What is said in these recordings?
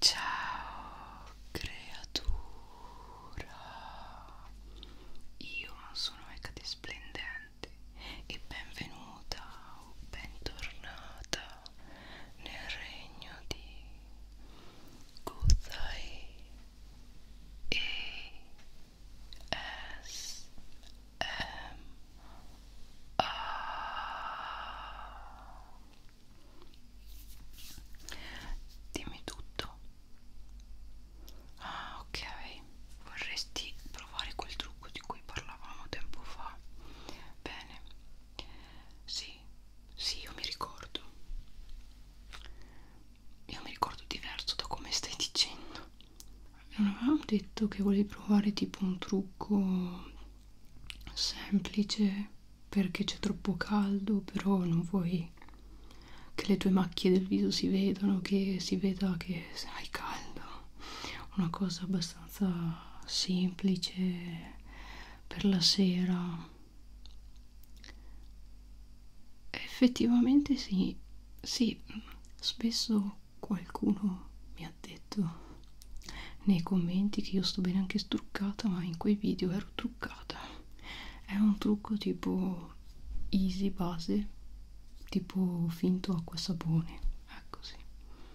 Ciao creatura, io sono Ecate Splendente e benvenuta o bentornata nel regno di Guzai e S M A Dimmi tutto. Ah, ok. Vorresti provare quel trucco di cui parlavamo tempo fa? Bene. Sì, sì, io mi ricordo. Io mi ricordo diverso da come stai dicendo. Non avevamo detto che volevi provare tipo un trucco semplice perché c'è troppo caldo, però non vuoi che le tue macchie del viso si vedano, che si veda che hai caldo. Una cosa abbastanza semplice per la sera. Effettivamente sì, sì, spesso qualcuno mi ha detto nei commenti che io sto bene anche struccata ma in quei video ero truccata è un trucco tipo easy base tipo finto acqua sapone ecco sì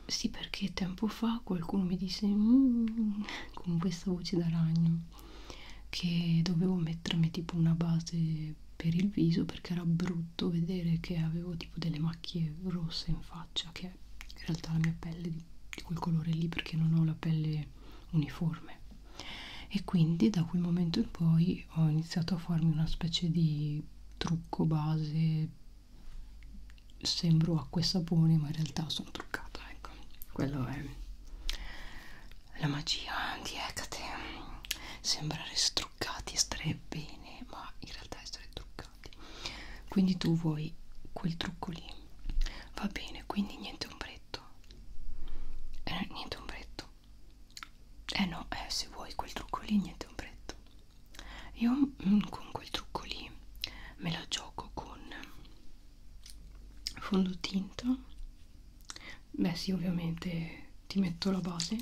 sì perché tempo fa qualcuno mi disse mm", con questa voce da ragno che dovevo mettermi tipo una base per il viso perché era brutto vedere che avevo tipo delle macchie rosse in faccia che in realtà la mia pelle di, di quel colore lì perché non ho la pelle uniforme e quindi da quel momento in poi ho iniziato a farmi una specie di trucco base sembro acqua e sapone ma in realtà sono truccata ecco quello è la magia di Hecate sembrare struccati e stare bene ma in realtà essere truccati complicati quindi tu vuoi quel trucco lì va bene quindi niente ombretto eh, niente ombretto eh no eh, se vuoi quel trucco lì niente ombretto io mm, con quel trucco lì me la gioco con fondotinta beh sì ovviamente ti metto la base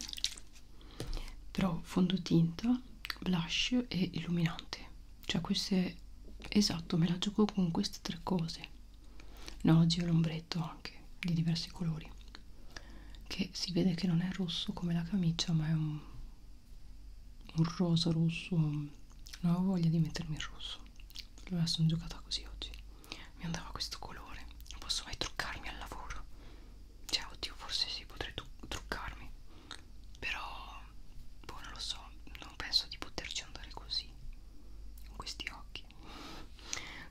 però fondotinta blush e illuminante cioè queste esatto me la gioco con queste tre cose no oggi ho l'ombretto anche di diversi colori che si vede che non è rosso come la camicia ma è un, un rosa rosso non avevo voglia di mettermi il rosso allora sono giocata così oggi mi andava questo colore non posso mai truccarmi al lavoro cioè oddio forse sì potrei truccarmi però boh non lo so non penso di poterci andare così con questi occhi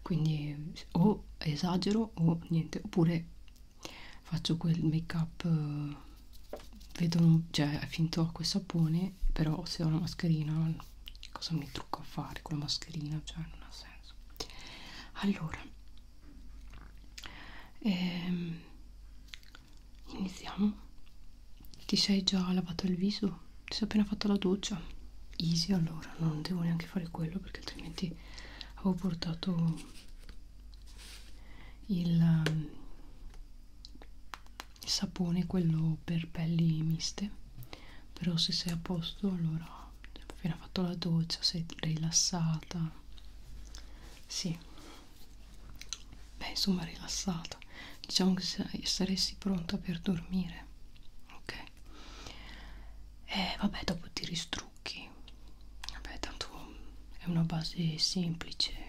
quindi o esagero o niente oppure faccio quel make up vedo cioè finto acqua e sapone però se ho una mascherina cosa mi trucco a fare con la mascherina cioè non ha senso allora e ehm, iniziamo ti sei già lavato il viso? ti sei appena fatto la doccia? easy allora non devo neanche fare quello perché altrimenti avevo portato il, ehm, il sapone quello per pelli miste però se sei a posto allora appena fatto la doccia sei rilassata sì beh insomma rilassata diciamo che saresti pronta per dormire ok e eh, vabbè dopo ti ristrucchi vabbè tanto è una base semplice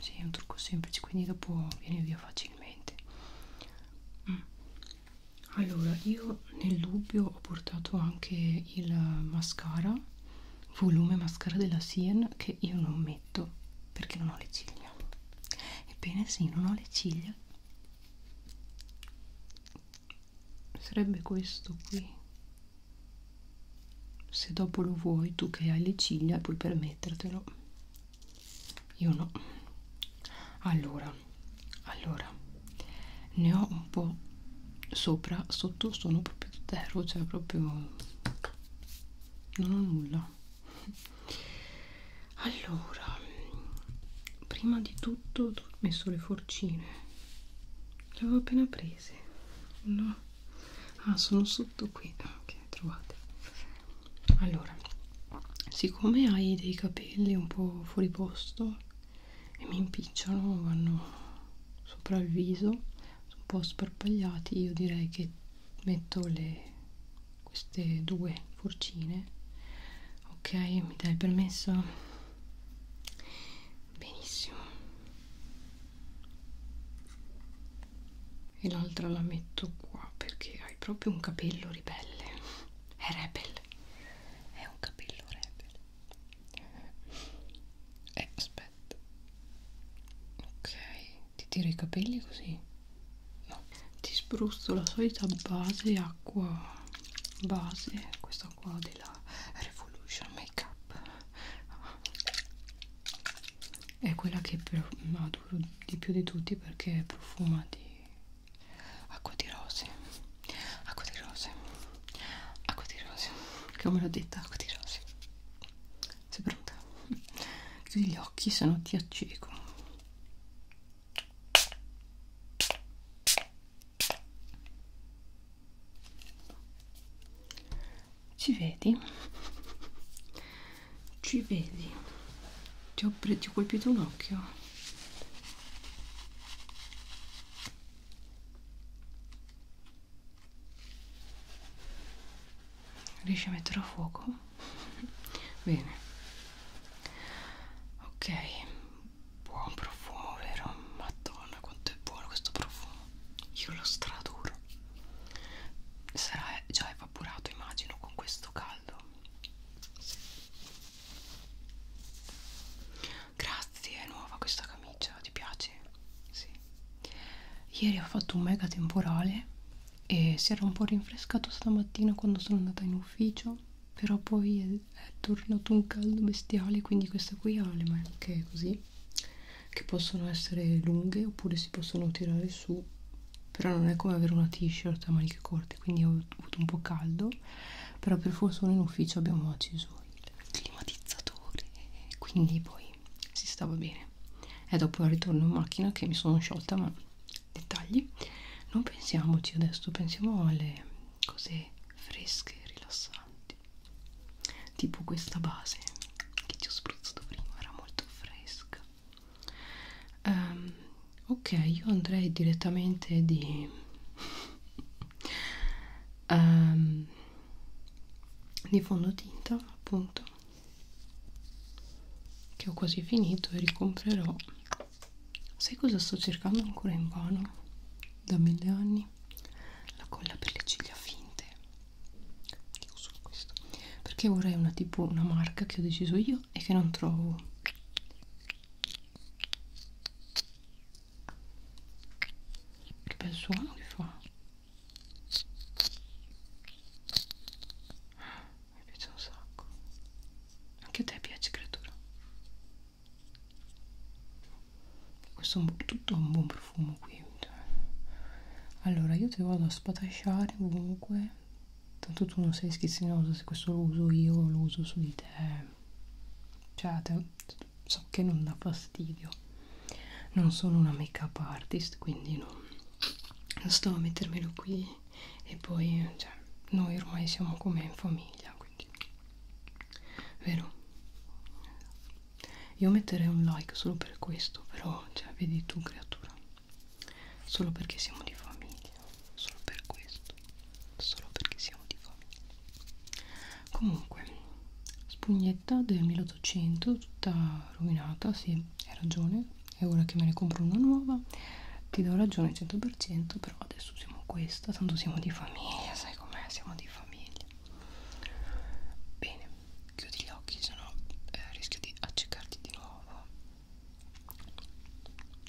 sì, è un trucco semplice quindi dopo vieni via facilmente mm. allora io nel dubbio ho portato anche il mascara volume mascara della Sien che io non metto perché non ho le ciglia ebbene sì, non ho le ciglia sarebbe questo qui se dopo lo vuoi tu che hai le ciglia puoi permettertelo io no allora allora ne ho un po' sopra, sotto sono proprio zero, cioè proprio non ho nulla. Allora, prima di tutto ho messo le forcine. Le avevo appena prese. No. Ah, sono sotto qui. Ok, trovate. Allora, siccome hai dei capelli un po' fuori posto, e mi impicciano, vanno sopra il viso, sono un po' sparpagliati, io direi che metto le, queste due forcine, ok? Mi dai il permesso? Benissimo. E l'altra la metto qua perché hai proprio un capello ribelle. È rebel. È un capello rebel eh aspetta ok ti tiro i capelli così no ti spruzzo la solita base acqua base questa qua della revolution make up è quella che adoro di più di tutti perché profuma di acqua di rose acqua di rose acqua di rose come l'ho detta acqua di rose sei pronta? chiudi gli occhi se no ti acceco ci vedi? ci vedi? ti ho, ti ho colpito un occhio Riesci a metterlo a fuoco? Bene. Ok. Buon profumo, vero? Madonna, quanto è buono questo profumo. Io lo straduro. Sarà già evaporato, immagino, con questo caldo. Grazie, è nuova questa camicia, ti piace? Sì. Ieri ho fatto un mega temporale e si era un po' rinfrescato stamattina quando sono andata in ufficio, però poi è, è tornato un caldo bestiale, quindi questa qui ha le maniche così, che possono essere lunghe oppure si possono tirare su, però non è come avere una t-shirt a maniche corte, quindi ho avuto un po' caldo, però per fortuna in ufficio abbiamo acceso il climatizzatore quindi poi si stava bene è dopo il ritorno in macchina che mi sono sciolta ma dettagli non pensiamoci adesso pensiamo alle cose fresche rilassanti tipo questa base che ci ho spruzzato prima era molto fresca um, ok io andrei direttamente di um, di fondotinta appunto che ho quasi finito e ricomprerò sai cosa sto cercando ancora in vano da mille anni la colla per le ciglia finte che uso questo perché vorrei una tipo una marca che ho deciso io e che non trovo che bel suono che fa. Mi piace un sacco. Anche a te piace, creatura. Questo è un, tutto un buon profumo qui. Eh. Allora, io ti vado a spatasciare comunque. Tanto tu non sei schizzinoso se questo lo uso io, lo uso su di te. Cioè, te, so che non dà fastidio non sono una make up artist quindi non, non sto a mettermelo qui e poi cioè, noi ormai siamo come in famiglia quindi vero io metterei un like solo per questo però cioè, vedi tu creatura solo perché siamo di famiglia solo per questo solo perché siamo di fame comunque spugnetta del 1800 tutta rovinata sì hai ragione è ora che me ne compro una nuova ti do ragione 100% però adesso siamo questa tanto siamo di famiglia sai com'è siamo di famiglia bene chiudi gli occhi sennò no, eh, rischio di accecarti di nuovo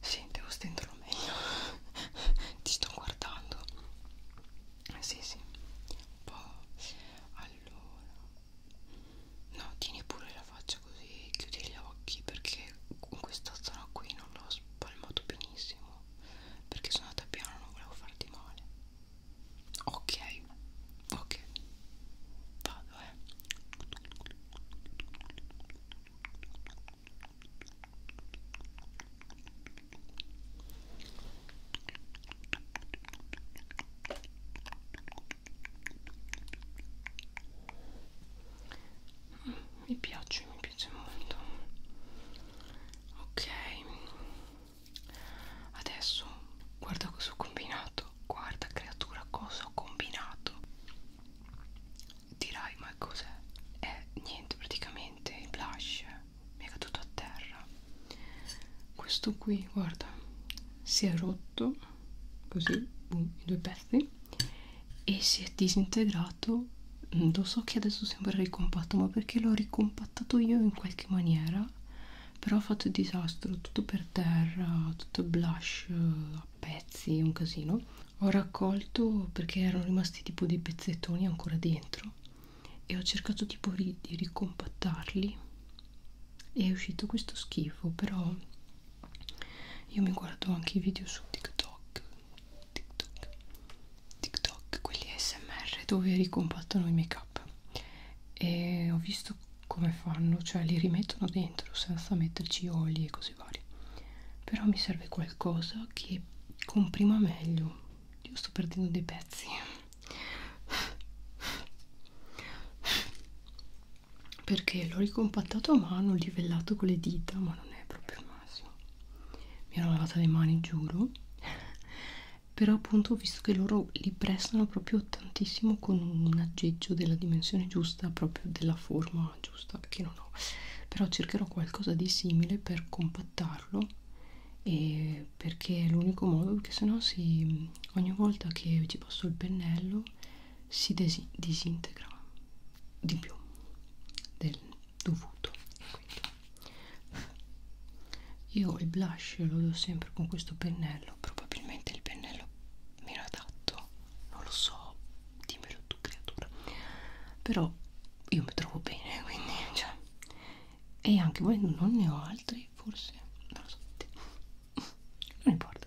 Sì, devo stenderlo meglio. Ti sto guardando. Sì, sì. Un po'. Allora. No, tieni pure la faccia così, chiudi gli occhi perché in questa zona qui non l'ho spalmato benissimo. Perché sono andata piano, non volevo farti male. Ok, ok. Vado, eh mi piace mi piace molto ok adesso guarda cosa ho combinato guarda creatura cosa ho combinato dirai ma cos'è? è eh, niente praticamente il blush mi è caduto a terra questo qui guarda si è rotto così boom, i due pezzi e si è disintegrato mm, lo so che adesso sembra ricompatto ma perché l'ho ricompattato io in qualche maniera però ho fatto il disastro tutto per terra tutto blush a pezzi, un casino. Ho raccolto perché erano rimasti tipo dei pezzettoni ancora dentro e ho cercato tipo di ricompattarli e è uscito questo schifo, però io mi guardo anche i video su TikTok, TikTok, TikTok, quelli ASMR dove ricompattano i make up e ho visto come fanno, cioè li rimettono dentro senza metterci oli e cose cose varie però mi serve qualcosa che comprima meglio io sto perdendo dei pezzi perché l'ho ricompattato a mano livellato con le dita ma non è proprio il massimo mi ero lavata le mani giuro però appunto ho visto che loro li prestano proprio tantissimo con un aggeggio della dimensione giusta proprio della forma giusta che non ho però cercherò qualcosa di simile per compattarlo e perché è l'unico modo perché sennò si ogni volta che ci passo il pennello si disintegra di più del dovuto Quindi. io il blush lo do sempre con questo pennello probabilmente il pennello meno adatto non lo so, dimmelo tu creatura, però io mi trovo bene, quindi, cioè, e anche volendo non ne ho altri, forse, non lo so, non importa,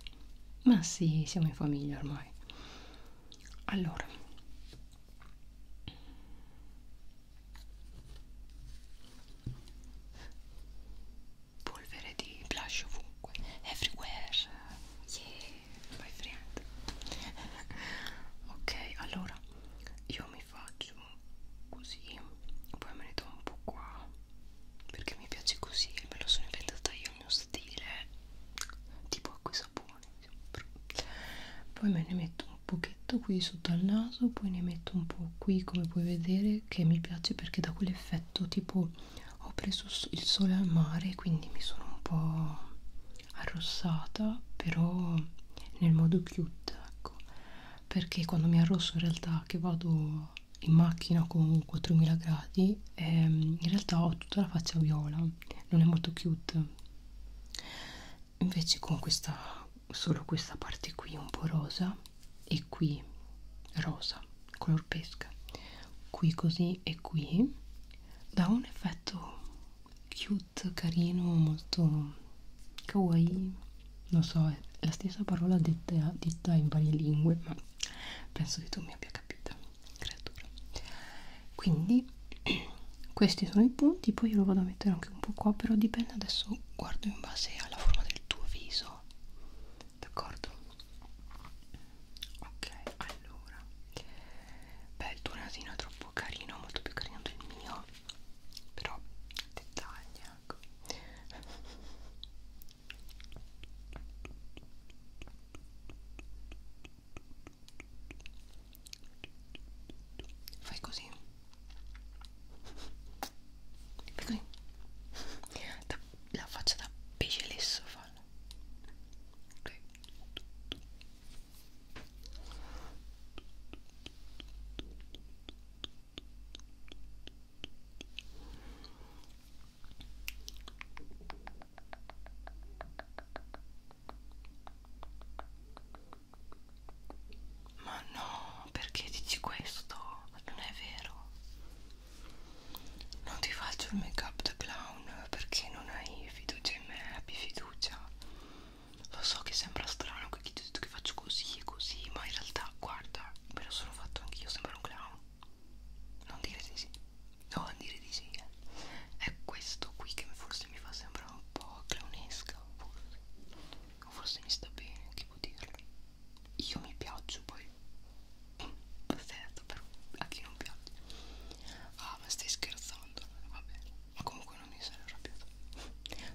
ma sì, siamo in famiglia ormai, allora, polvere di blush ovunque everywhere yeah my friend ok allora io mi faccio così poi me ne do un po' qua perché mi piace così me lo sono inventata io il mio stile tipo acqua e sapone poi me ne metto un pochetto qui sotto al naso poi ne metto un po' qui come puoi vedere che mi piace perché dà quell'effetto tipo ho preso il sole al mare quindi mi sono un po' arrossata però nel modo cute ecco perché quando mi arrosso in realtà che vado in macchina con 4000 gradi ehm, in realtà ho tutta la faccia viola non è molto cute invece con questa solo questa parte qui un po' rosa e qui rosa color pesca qui così e qui dà un effetto cute carino molto kawaii non so è la stessa parola detta, detta in varie lingue ma penso che tu mi abbia capita creatura quindi questi sono i punti poi io lo vado a mettere anche un po' qua però dipende adesso guardo in base alla forma del tuo viso d'accordo? Ok, allora beh il tuo nasino è troppo carino, molto più carino del mio però dettagli ecco fai così fai così da la faccia da pesce lesso fallo okay. Ma no, perché dici questo? Non è vero non ti faccio il make up da clown perché non hai fiducia in me, abbi fiducia lo so che sembra strano che ti ho detto che faccio così e così ma in realtà guarda me lo sono fatto anch'io sembra un clown non dire di sì non dire di sì eh. è questo qui che forse mi fa sembrare un po' clownesca forse o forse mi sta bene che può dirlo io mi piaccio poi certo però a chi non piace ah ma stai scherzando va bene ma comunque non mi sarei arrabbiato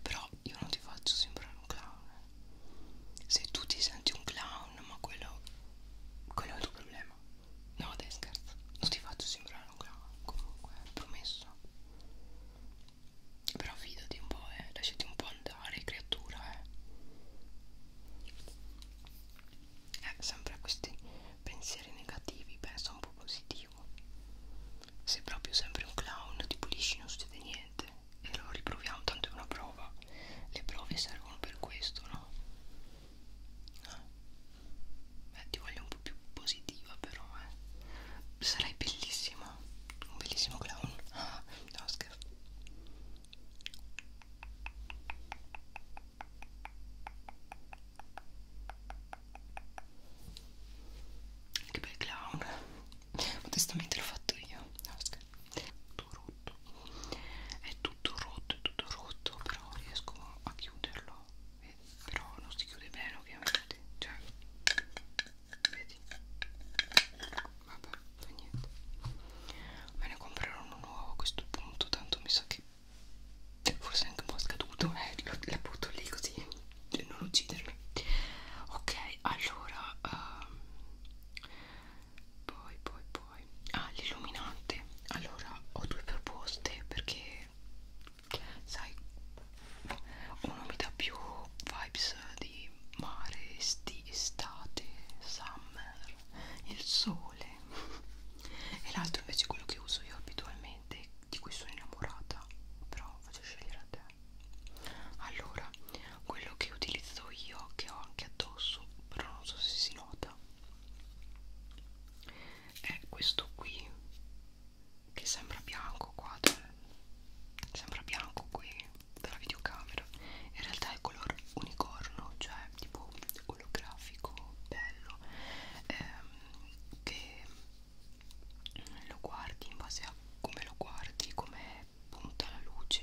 però io non ti faccio sembrare un clown eh. se tu ti senti un clown ma quello quello è il tuo problema no dai scherzo non ti faccio sembrare un clown comunque promesso però fidati un po' eh lasciati un po' andare dare creatura eh. eh sempre a questi pensieri negativi pensa un po' positivo sei proprio sempre un clown ti pulisci non succede niente e lo riproviamo tanto è una prova le prove servono per questo no? Eh. Eh, ti voglio un po' più positiva però eh sarai bellissima un bellissimo clown ah, no scherzo che bel clown. Modestamente l'ho fatto io. No, tutto rotto. È tutto rotto, è tutto rotto, però riesco a chiuderlo. Vedi? Però non si chiude bene ovviamente. Cioè, vedi? vabbè, fa niente me ne comprerò uno nuovo a questo punto tanto mi sa che forse è anche un po' scaduto eh, la butto lì così per non uccidermi ok, allora um, poi poi poi ah, l'illuminante allora ho due proposte perché sai uno mi dà più vibes mix di mare, esti, estate, summer, il sole e l'altro invece quello che uso io abitualmente di cui sono innamorata però faccio scegliere a te allora quello che utilizzo io che ho anche addosso però non so se si nota è questo qui che sembra bianco qua cioè, sembra bianco qui dalla videocamera in realtà è color unicorno cioè tipo olografico bello ehm, che lo guardi in base a come lo guardi come punta la luce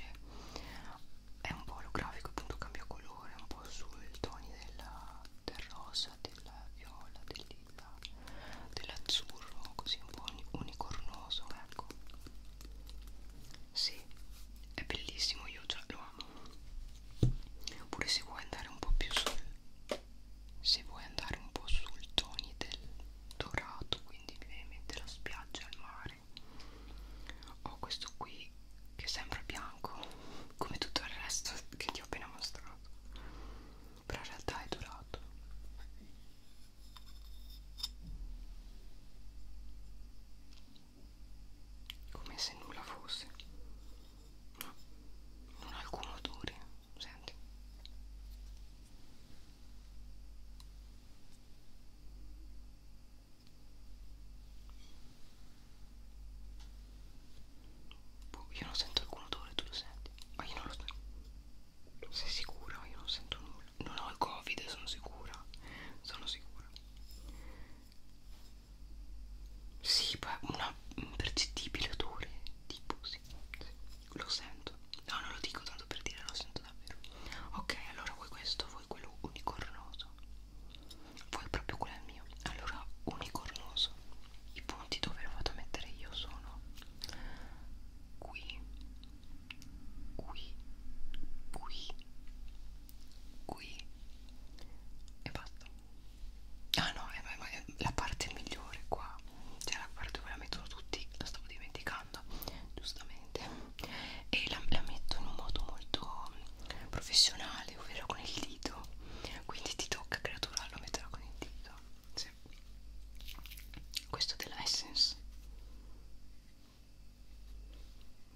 è un po' olografico appunto cambia colore un po' sui toni della, del rosa del viola del lilla dell'azzurro così un po' unicornoso ecco sì, è bellissimo, io già lo amo. Oppure se vuoi andare un po' più sul se vuoi andare un po' sul toni del dorato, quindi mi viene in mente la spiaggia al mare. Ho questo qui che è sempre bianco, come tutto il resto che ti ho appena mostrato. Però in realtà è dorato come se nulla fosse no non ha alcun odore senti Boh, io non sento alcun odore, tu lo senti? Ma io non lo sento. Sei sicura? Io non sento nulla. Non ho il covid, sono sicura. Sono sicura. Sì, una impercettibile odore. Tipo, sì, sì. Lo sento. No, non lo dico tanto per dire, lo sento davvero. Ok, allora vuoi questo? Vuoi quello unicornoso? Vuoi proprio quello è mio? Allora, unicornoso. I punti dove l'ho fatto mettere io sono qui qui, qui, qui e basta. Ah no, è, è, è la parte migliore qua, cioè la parte dove la mettono tutti, la stavo dimenticando, giustamente, e la, la metto in un modo molto mm, professionale, ovvero con il dito, quindi ti tocca creaturarlo a metterla con il dito. Sì. Questo dell'essence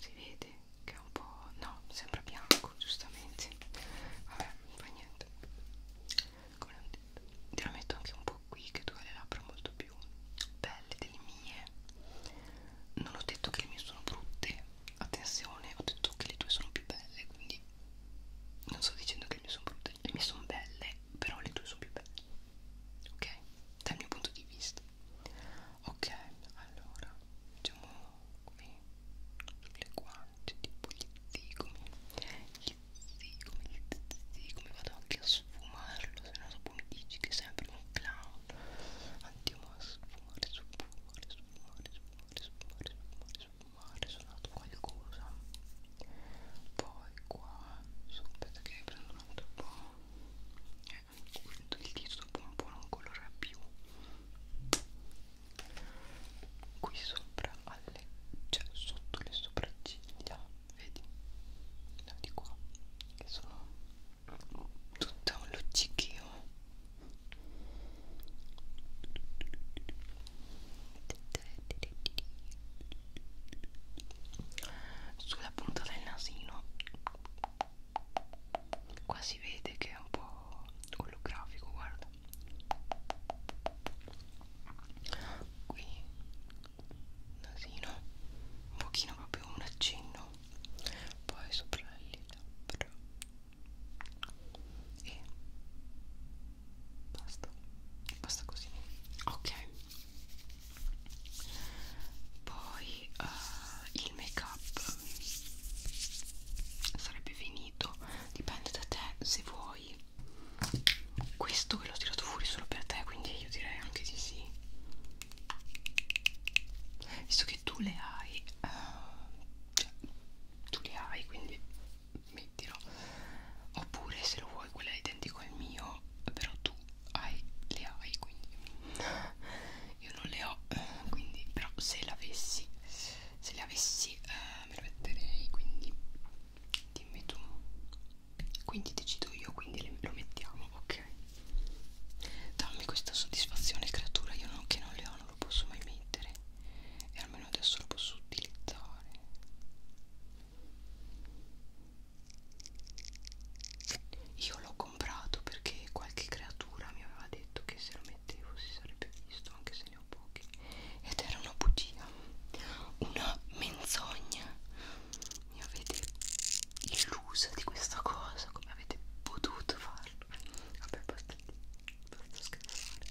si vede che è un po' no sembra bianco giustamente vabbè fa niente come ho detto te la metto anche un po' qui che tu hai le labbra molto più belle delle mie non ho detto che le mie sono brutte attenzione ho detto che le tue sono più belle quindi non sto dicendo che le mie sono brutte le mie sono belle però le tue sono più belle ok? Dal mio punto di vista, ok? Allora, facciamo qui sulle guance, tipo gli zigomi, gli zigomi, gli zigomi. Vado anche a sfumarlo, se no dopo mi dici che è sempre un clown. Andiamo a sfumare, sfumare, sfumare, sfumare, sfumare, sfumare, sfumare. Sono andato qua il cosa poi qua su, aspetta che prendo un altro po' eh, il dito dopo un po' non colora più qui sopra alle, cioè sotto le sopracciglia vedi no, di qua che sono tutta un luccichio sulla punta del nasino qua si vede che è un po' olografico guarda qui nasino un pochino proprio un accenno poi sopra le labbra e basta basta così ok poi uh, il make up sarebbe finito dipende da te se vuoi questo ve l'ho tirato fuori solo per te quindi io direi anche di sì visto che tu le hai uh, cioè, tu le hai quindi mettilo oppure se lo vuoi quello è identico al mio però tu hai, le hai quindi io non le ho eh, quindi però se l'avessi se le avessi eh, me lo metterei quindi dimmi tu quindi decido io quindi le, lo mettiamo ok dammi questa soddisfazione creatura io non, che non le ho non lo posso mai mettere e almeno adesso lo posso utilizzare io l'ho comprato perché qualche creatura mi aveva detto che se lo mettevo si sarebbe visto, anche se ne ho pochi. Ed era una bugia, una menzogna. Mi avete illusa di questa cosa, come avete potuto farlo? Vabbè, basta, basta scherzare.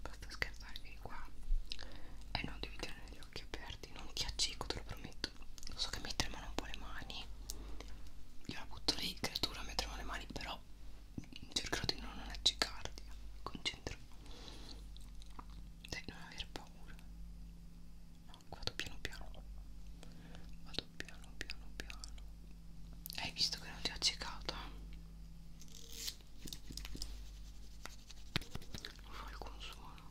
Basta scherzare, vieni qua. E eh non devi tenere gli occhi aperti, non ti accico, te lo prometto. Lo so che mi tremano un po' le mani. Io la butto lì, creatura, mi tremano le mani, però cercherò di non accicarti. Mi concentro. Dai, non aver paura. No, vado piano piano. Vado piano piano piano. Hai visto che non ti ho accecato? non fa alcun suono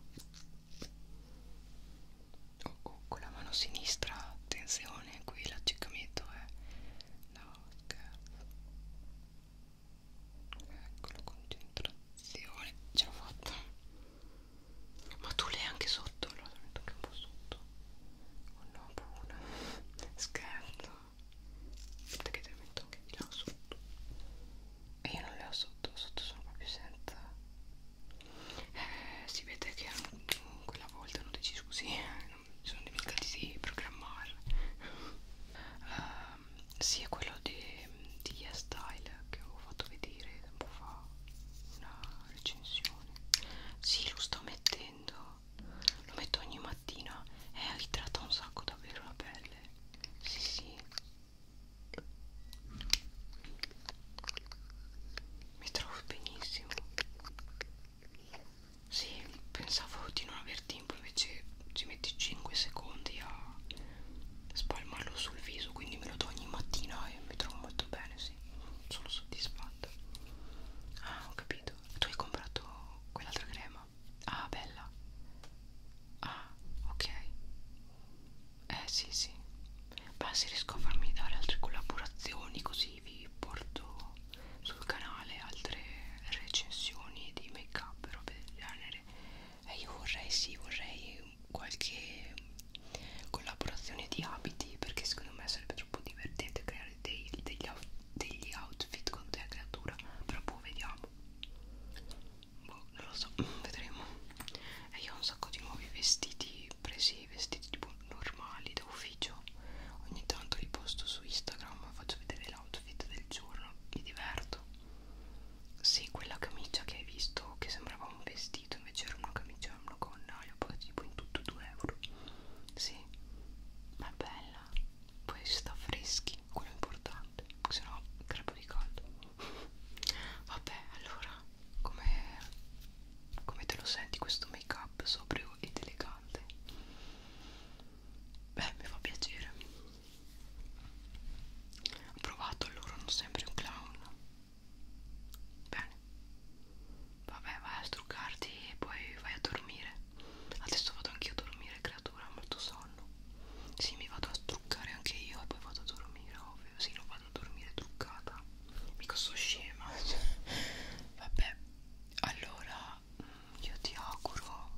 oh, oh, con la mano sinistra attenzione qui l'aggiccamento è eh. no scherzo ecco la concentrazione ce l'ho fatta ma tu l'hai anche sotto allora metto anche un po' sotto oh no pure scherzo aspetta che te le metto anche di là sotto e io non le ho sotto sotto sono proprio senza eh, si vede che quella volta hanno deciso così eh, non mi sono dimenticati di programmare uh, sì è quello di, di yes Style che ho fatto vedere tempo fa una recensione sì lo sto mettendo lo metto ogni mattina e eh, ritratta un sacco davvero la pelle possibile sì sì mi trovo benissimo sì pensavo di non aver tempo invece ci metti 5 secondi a spalmarlo sul viso quindi me lo do ogni mattina e mi trovo molto bene sì sono soddisfatta ah ho capito tu hai comprato quell'altra crema roba ah bella ah ok eh sì sì basta riesco a farmi dare altre collaborazioni così vi porto sul canale altre recensioni di make up robe del genere e eh, io vorrei sì vorrei qualche collaborazione di abiti perché secondo me sarebbe troppo divertente creare dei, degli, degli outfit con te creatura però poi boh, vediamo boh, non lo so, vedremo. E io ho un sacco di nuovi vestiti presi, vestiti tipo normali da ufficio. Ogni tanto li posto su Instagram, faccio vedere l'outfit del giorno, mi diverto. Sì, quella camicia che hai visto che sembrava un vestito, invece era una camicia, una gonna, li ho pagati tipo in tutto 2 euro. Sì, ma è bella poi si sta freschi, quello è importante, se no crepo di caldo. Vabbè, allora, come com te lo senti questo make up sobrio ed elegante? Beh, mi fa piacere. Ho provato allora, non sempre un clown. Bene. Vabbè, vai a struccarti e poi vai a dormire. Adesso vado anch'io a dormire, creatura, ho molto sonno. Sì, mi vado a truccare anche io e poi vado a dormire, ovvio. Sì, non vado a dormire truccata. Mica sono scema. Vabbè, allora mm, io ti auguro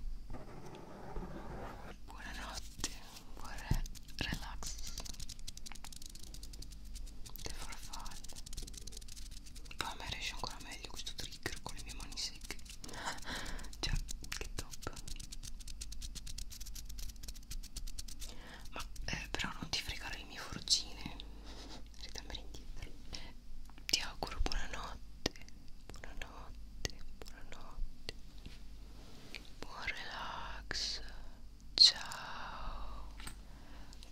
buonanotte, buon re relax. Le farfalle. Poi a me riesce ancora meglio questo trigger con le mie mani secche cioè che top ma eh, però non ti fregare le mie forcine ritornare indietro ti auguro buonanotte buonanotte buonanotte buon relax ciao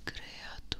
creatura